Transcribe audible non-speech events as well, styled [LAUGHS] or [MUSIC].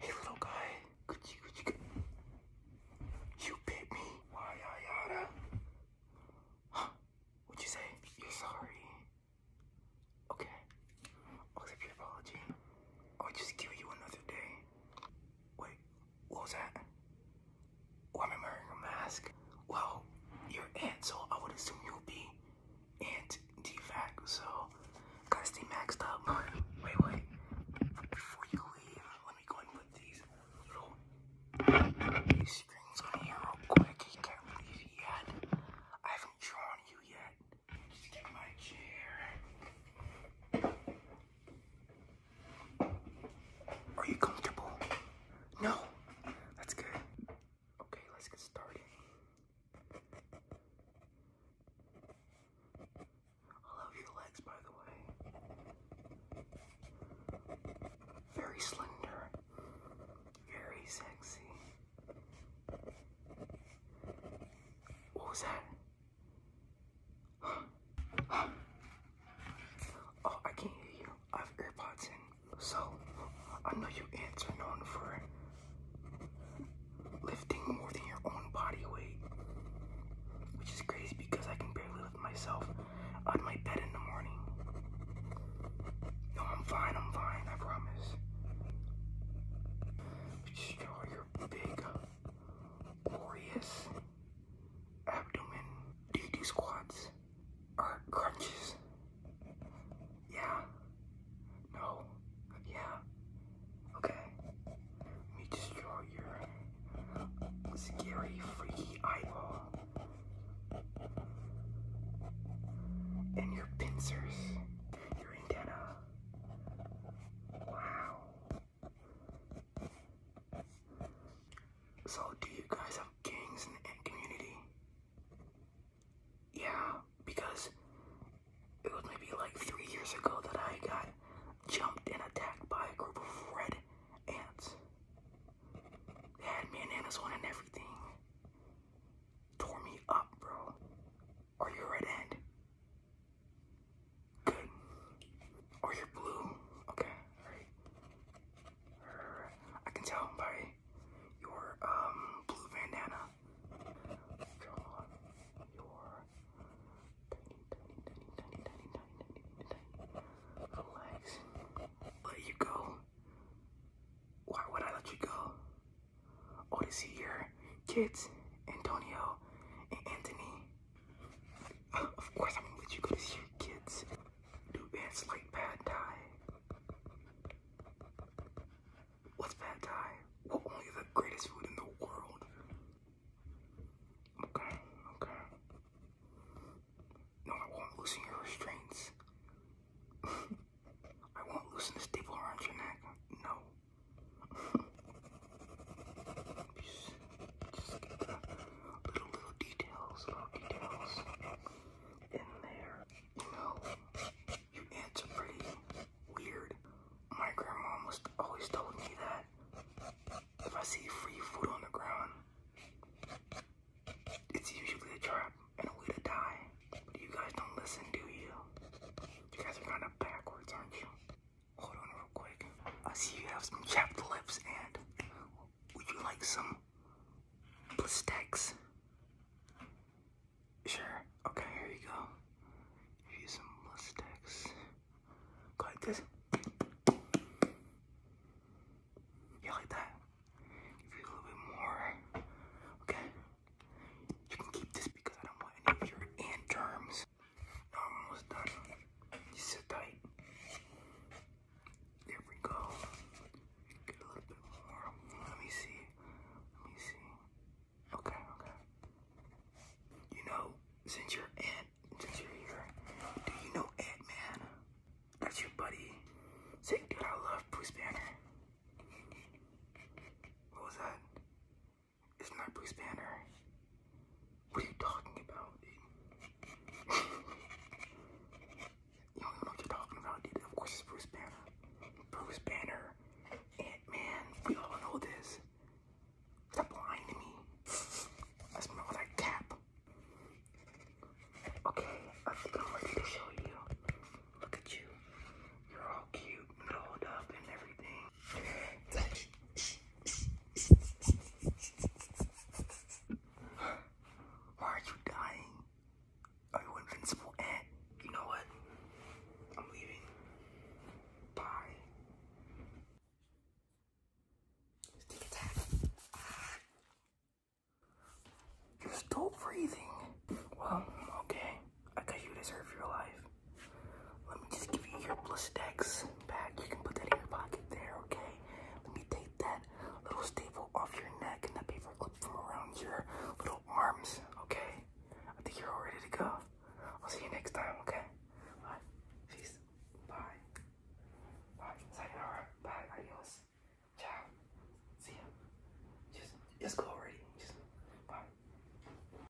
Hey little guy, you bit me. Why yada? What'd you say? You're sorry. Okay, I'll your apology. i just give you another day. Wait, what was that? Why am I wearing a mask? Well, you're an aunt, so I would assume you would be and defacto, fac so gotta stay maxed up. [LAUGHS] Wait, wait, before you leave, let me go and put these little strings on here real quick. can't leave yet. I haven't drawn you yet. Just get my chair. Are you comfortable? No. That's good. Okay, let's get started. I love your legs, by the way. Very slender, very sexy. What was that? [GASPS] oh, I can't hear you. I have AirPods in. So, I know you ants are known for lifting more than your own body weight, which is crazy because I can barely lift myself out of my bed in the morning. No, I'm fine, I'm fine, I promise. Just draw your big, glorious abdomen. Do squats? uh, crunches. Yeah. No. Yeah. Okay. Let me just your scary, freaky eyeball. And your pincers. Your antenna. Wow. So, do you guys have gangs in the community? Yeah, because it was maybe like three years ago that I got jumped and attacked by a group of red ants. They had me and and everything. Tore me up, bro. Are you red ant? Good. Are you blue? Okay, I can tell by your um, blue bandana. your tiny, tiny, tiny, tiny, tiny, tiny, tiny, tiny little legs. Let you go. Why would I let you go? Oh, to see your kids, Antonio and Anthony. Uh, of course, I'm going you to see your kids. Do ants like pad thai? What's pad thai? Well, only the greatest food in the world. Okay, okay. No, I won't loosen your restraints. [LAUGHS] I won't loosen the staple around your neck. No. [LAUGHS] Uh, little, details, little details in there. You know, you ants pretty weird. My grandma almost always told me that if I see free food on the ground, it's usually a trap and a way to die. But you guys don't listen, do you? You guys are kind of backwards, aren't you? Hold on real quick. I see you have some chapped lips and would you like some plastex? Sure. Okay, here you go. Give you some Blistex. Go like this. Yeah, like that. Give you a little bit more. Okay. You can keep this because I don't want any of your ant germs. I'm almost done. You sit tight. There we go. Get a little bit more. Let me see. Let me see. Okay, okay. You know, since you're Ant, since you're here, do you know Ant Man? That's your buddy. Say, dude, I love Bruce Banner. What was that? It's not Bruce Banner. What are you talking about, dude? [LAUGHS] you don't you're talking about, dude. Of course it's Bruce Banner. Bruce Banner. Ant-Man. We all know this. Stop lying to me. I cap. Okay, I'm ready to show you. Look at you. You're all cute and rolled up and everything. Are you dying? Are you invincible? you know what? I'm leaving. Bye. You're still breathing. Well, okay. I guess you deserve your life. Let me just give you your Blistex back. You can put that in your pocket there, okay? Let me take that little staple off your neck and that paper clip from around your little arms, okay? I think you're all ready to go. I'll see you next time, okay? Bye. Peace. Bye. Bye. Sayonara. Bye. Adios. Ciao. See ya. Just, just go already. Just, bye.